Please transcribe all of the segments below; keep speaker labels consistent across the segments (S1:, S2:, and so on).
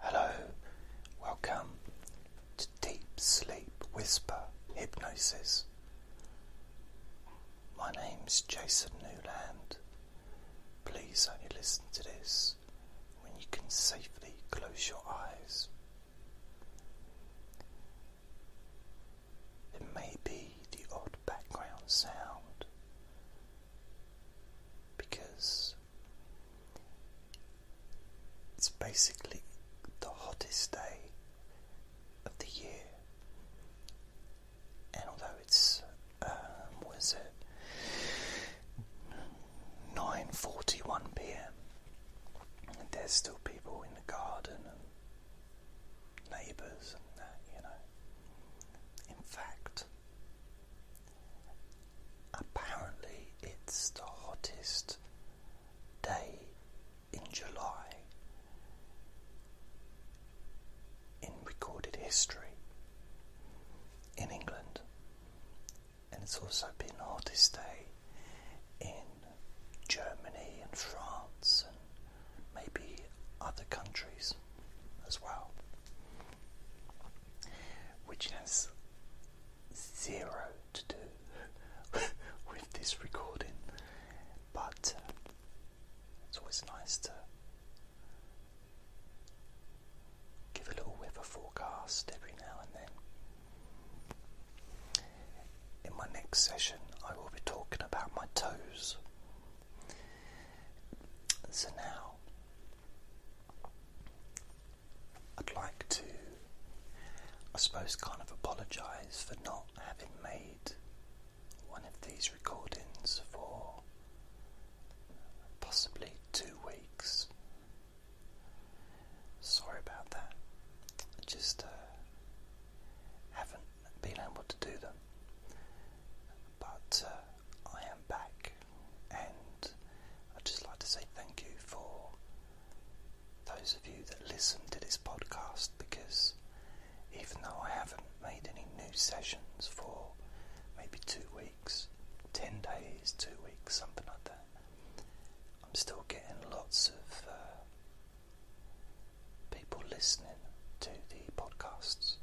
S1: Hello, welcome to Deep Sleep Whisper Hypnosis. My name is Jason Newland. Please only listen to this when you can safely close your eyes. There may be the odd background sound because it's basically the hottest day of the year, and although it's um, was it nine forty one p.m. and there's still people in the garden and neighbours and that you know. In fact, Apparently, it's the hottest day in July in recorded history in England, and it's also been hottest day in Germany and France and maybe other countries as well which has zero to do with this recording, but uh, it's always nice to give a little weather forecast every now and then. In my next session, I will be talking about my toes. So now I'd like to, I suppose, kind of apologise for not having made one of these recordings for possibly two weeks. Sorry about that. just uh, haven't been able to do them. But uh, I am back, and I'd just like to say thank you for those of you that listen to this podcast because even though I haven't made any new sessions for maybe two weeks, ten days, two weeks, something like that, I'm still getting lots of uh, people listening to the podcasts,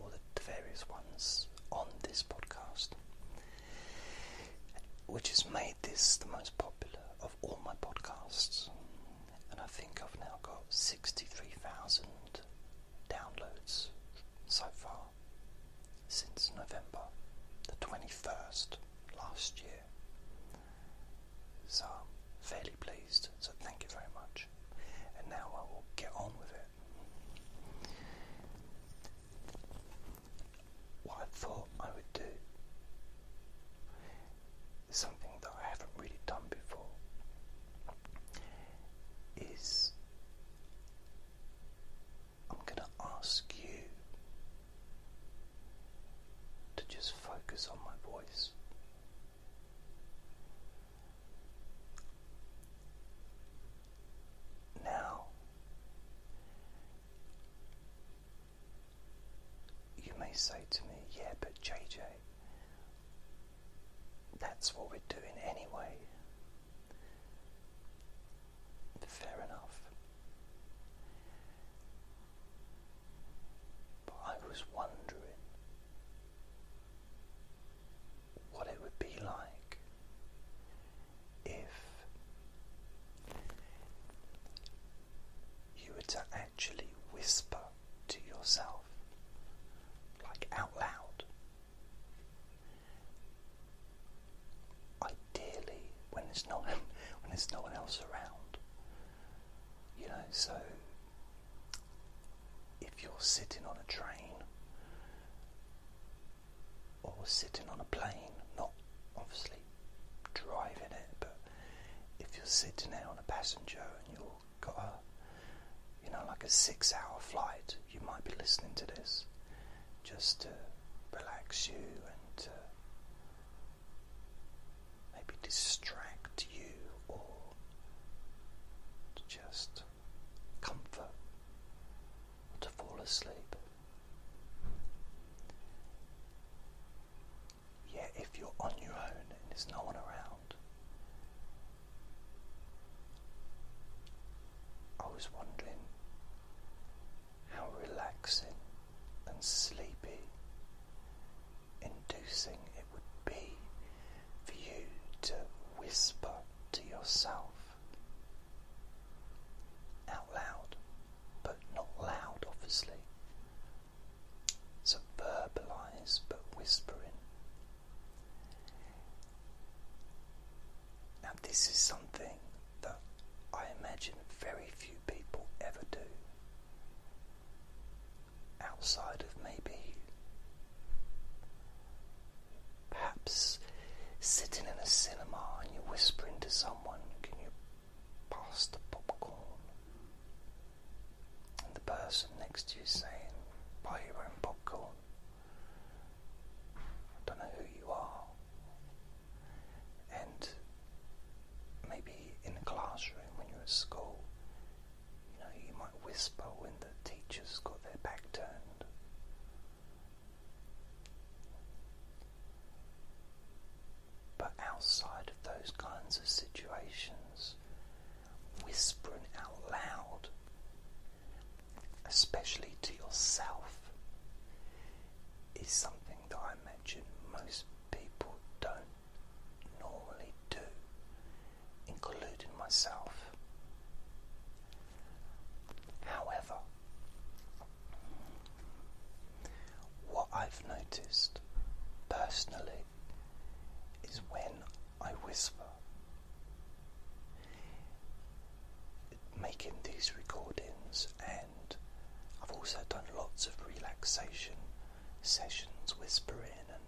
S1: all the various ones on this podcast which has made this the most popular of all my podcasts. And I think I've now got 63,000 downloads so far since November the 21st last year. So I'm fairly pleased, so thank you very much. And now I will get on with it. What I thought I would do something that I haven't really done before is I'm going to ask you to just focus on my voice. Now, you may say to me, yeah, but JJ, that's what we're doing anyway. Fair enough. But I was wondering what it would be like if you were to actually whisper to yourself, like out loud. Ideally, when there's no one, when there's no one else around, you know. So, if you're sitting on a train or sitting on a plane, not obviously driving it, but if you're sitting there on a passenger and you've got a, you know, like a six hour flight, you might be listening to this just to relax you and to maybe distract you or to just comfort to fall asleep. Yet, if you're on your own and there's no one around, I was wondering how relaxing and sleepy inducing it would be for you to whisper to yourself out loud, but not loud, obviously. So but whispering. Now, this is something that I imagine very few people ever do. Outside of maybe Perhaps sitting in a cinema and you're whispering to someone, Can you pass the popcorn? And the person next to you is saying, Buy your own popcorn. I don't know who you are. And maybe in a classroom when you're at school, you know, you might whisper when the teachers got their back turned. But outside of those kinds of situations, whispering out loud, especially to yourself, is something that I mentioned most people don't normally do, including myself. However, what I've noticed personally is when I whisper, making these recordings, and I've also done lots of relaxation sessions whispering and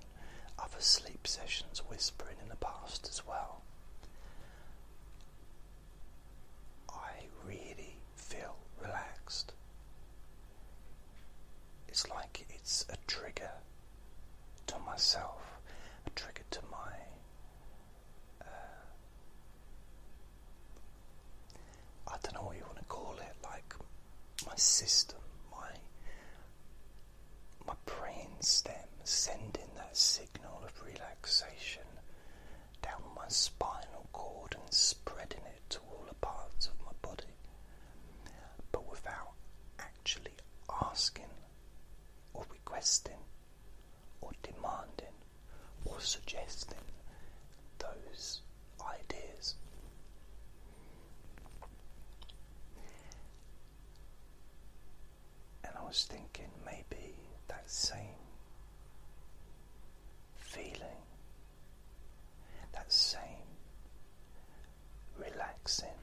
S1: other sleep sessions whispering in the past as well. I really feel relaxed. It's like it's a trigger to myself, a trigger to my. Uh, I don't know what you want to call it, like my system, my my brain stem sending that signal of relaxation down my spinal cord and spreading it to all the parts of my body, but without actually asking or requesting or demanding or suggesting those ideas. And I was thinking maybe that same feeling, that same relaxing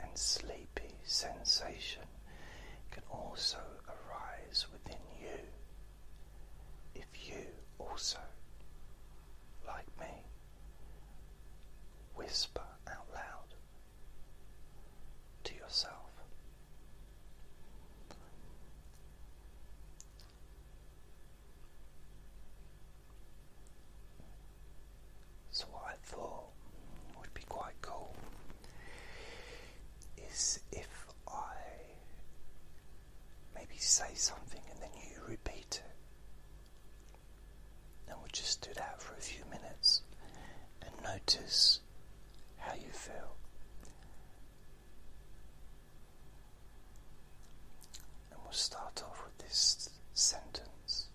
S1: and sleepy sensation can also arise within you if you also, like me, whisper out loud to yourself. So, what I thought would be quite cool is if I maybe say something and then you repeat it. And we just do that for a few minutes and notice how you feel. And we'll start off with this sentence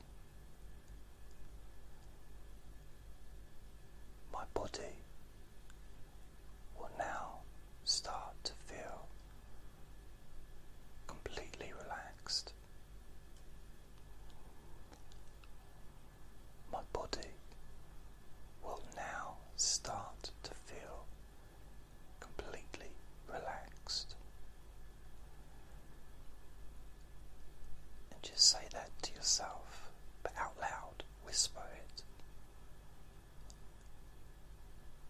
S1: My body will now start to feel completely relaxed my body will now start to feel completely relaxed. And just say that to yourself, but out loud, whisper it.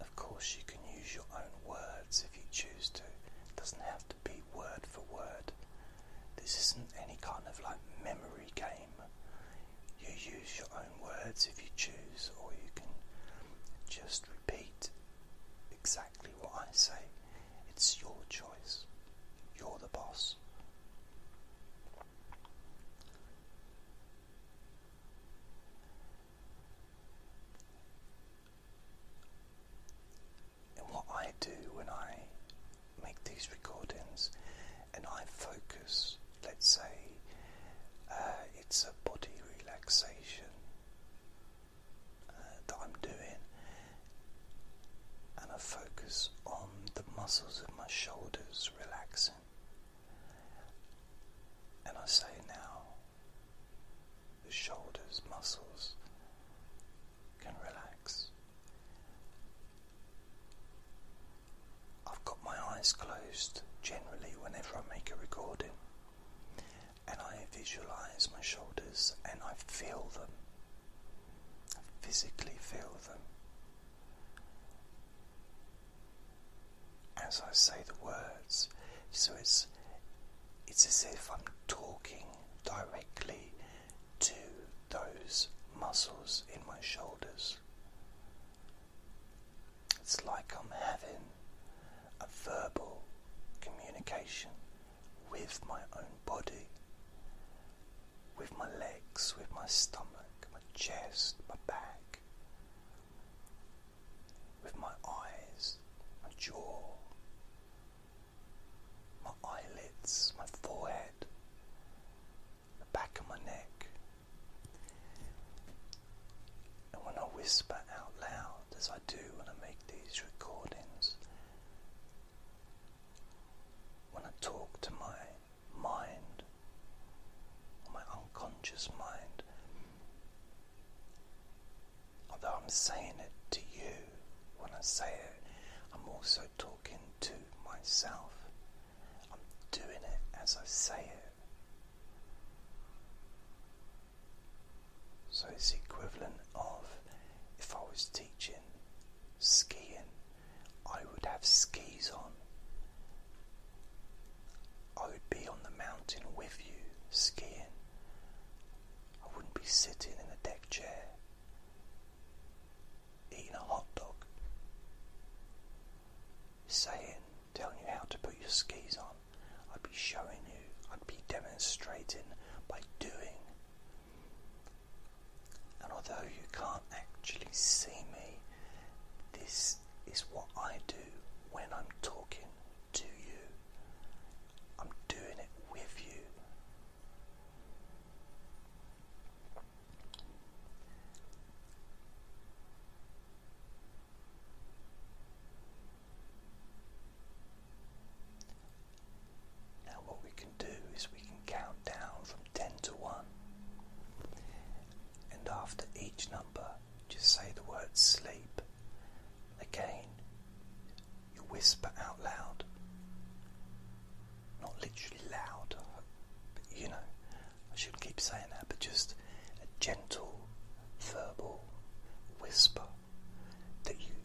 S1: Of course, you can use your own words if you choose to. It doesn't have to be word for word. This isn't any kind of like memory game. You use your own words if you choose, or you can just repeat exactly what I say. It's your choice. You're the boss. And what I do when I make these recordings and I focus, let's say uh, it's a body relaxation uh, that I'm doing, and I focus on the muscles of my shoulders relaxing. And I say now, the shoulders muscles can relax. I've got my eyes closed generally whenever I make a recording, and I visualize my shoulders and I feel them. physically feel them. As I say the words, so it's it's as if I'm talking directly to those muscles in my shoulders. It's like I'm having a verbal communication with my own body, with my legs, with my stomach, my chest, my back, with my eyes, my jaw, my eyelids, my forehead, the back of my neck. And when I whisper out loud, as I do when I make these recordings, when I talk to my mind, my unconscious mind, although I'm saying it to you when I say it, I'm also talking talking to myself. I'm doing it as I say it. So it's equivalent of if I was teaching skiing, I would have skis on. I would be on the mountain with you skiing. I wouldn't be sitting in a deck chair eating a hot dog, saying, telling you how to put your skis on. I'd be showing you, I'd be demonstrating by doing. And although you can't actually see me, this is what I do when I'm talking to you. I'm doing it with you. Now, what we can do is we can count down from 10 to 1, and after each number, just say the word sleep. Again, you whisper out loud not literally loud, but you know, I shouldn't keep saying that, but just a gentle verbal whisper that you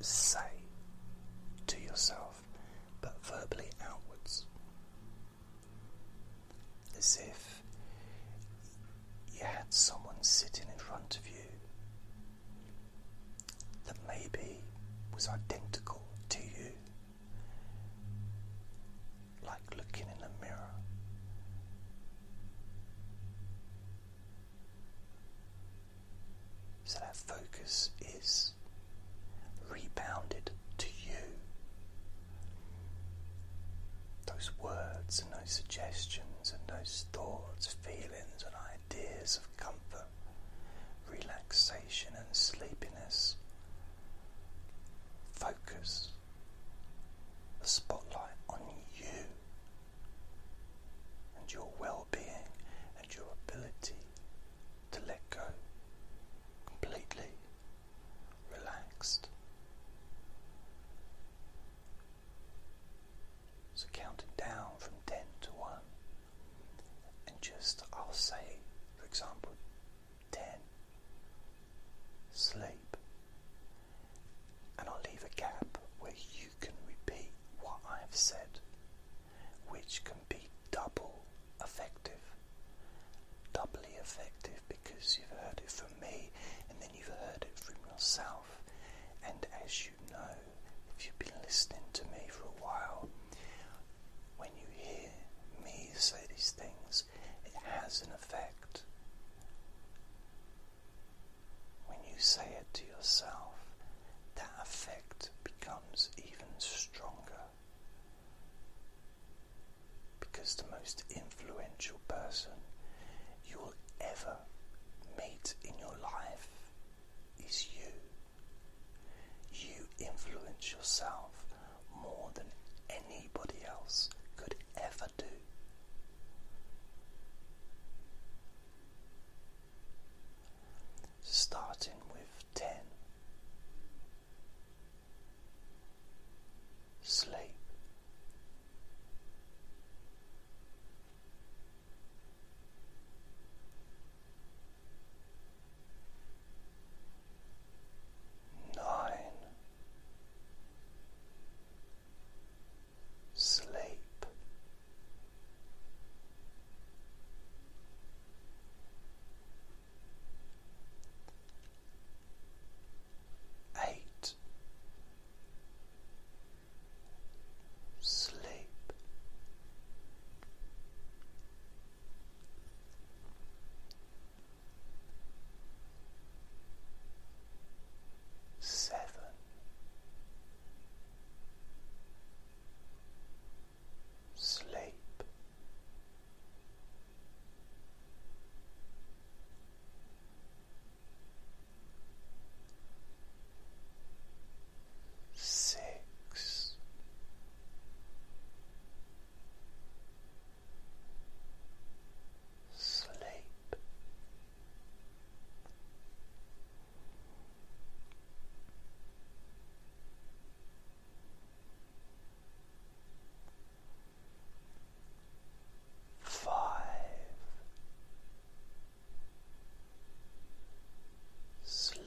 S1: say to yourself, but verbally outwards, as if you had someone sitting in front of you that maybe was identical to you, like looking in a mirror. So that focus is rebounded to you. Those words and those suggestions and those thoughts, feelings, and ideas of comfort relaxation and sleepiness. Focus the spotlight on you and your well being and your ability to let go completely relaxed. So, counting down from 10 to 1 and just, I'll say, for example, 10, sleep, and I'll leave a gap where you can repeat what I've said, which can be double effective, doubly effective because you've heard it from me and then you've heard it from yourself, and as you know, if you've been listening to me for a while, when you hear me say these things, it has an effect. When you say it to yourself, that effect becomes even stronger. Because the most influential person you will ever meet in your life is you. You influence yourself more than anybody else could ever do. Starting with 10. Sleep. Nine. Sleep. Eight. Sleep seven. Sleep six, sleep. Five, sleep,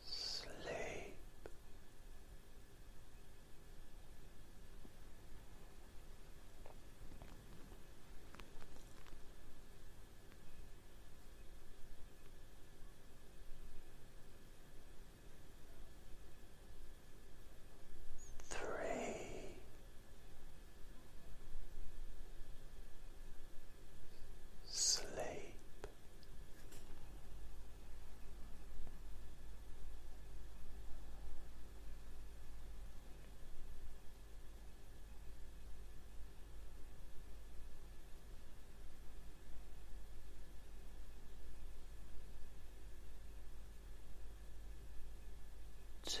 S1: sleep. Three, sleep. Two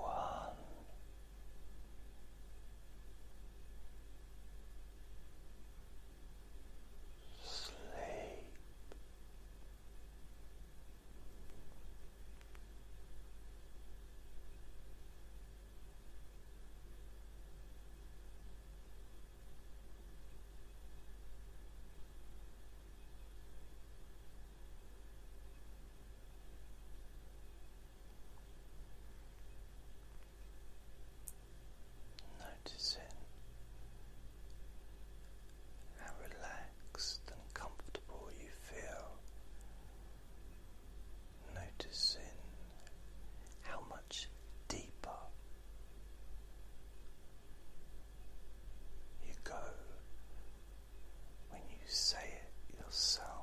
S1: one. Sleep. Noticing how relaxed and comfortable you feel. Noticing how much deeper you go when you say it yourself.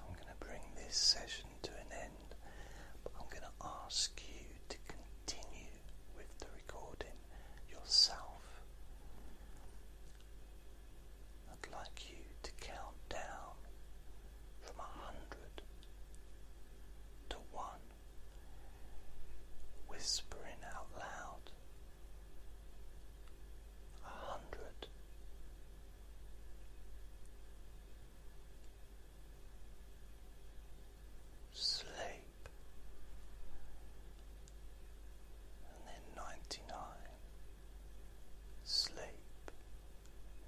S1: I'm going to bring this session to an end, but I'm going to ask you to continue with the recording yourself. I'd like you to count down from a hundred to one, whispering out loud a hundred sleep, and then ninety nine, sleep,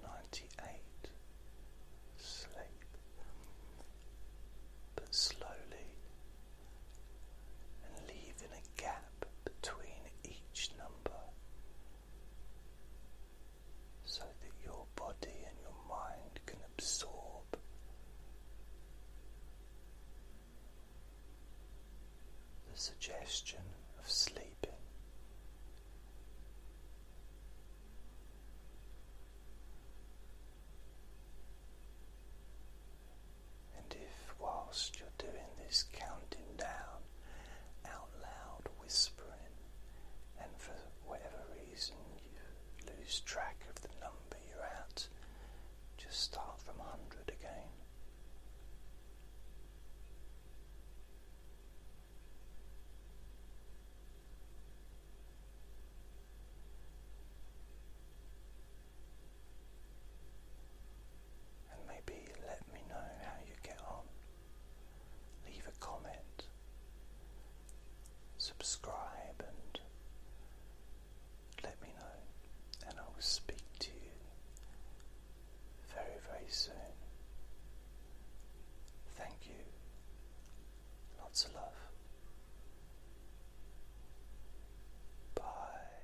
S1: ninety eight, sleep, but slowly and leaving a gap between each number so that your body and your mind can absorb the suggestion of sleeping. And if, whilst you're doing this counting down, out loud whispering, and for whatever reason you lose track of the number you're at, just start from 100 again. And maybe let me know how you get on leave a comment, subscribe, and let me know, and I will speak to you very, very soon. Thank you. Lots of love. Bye.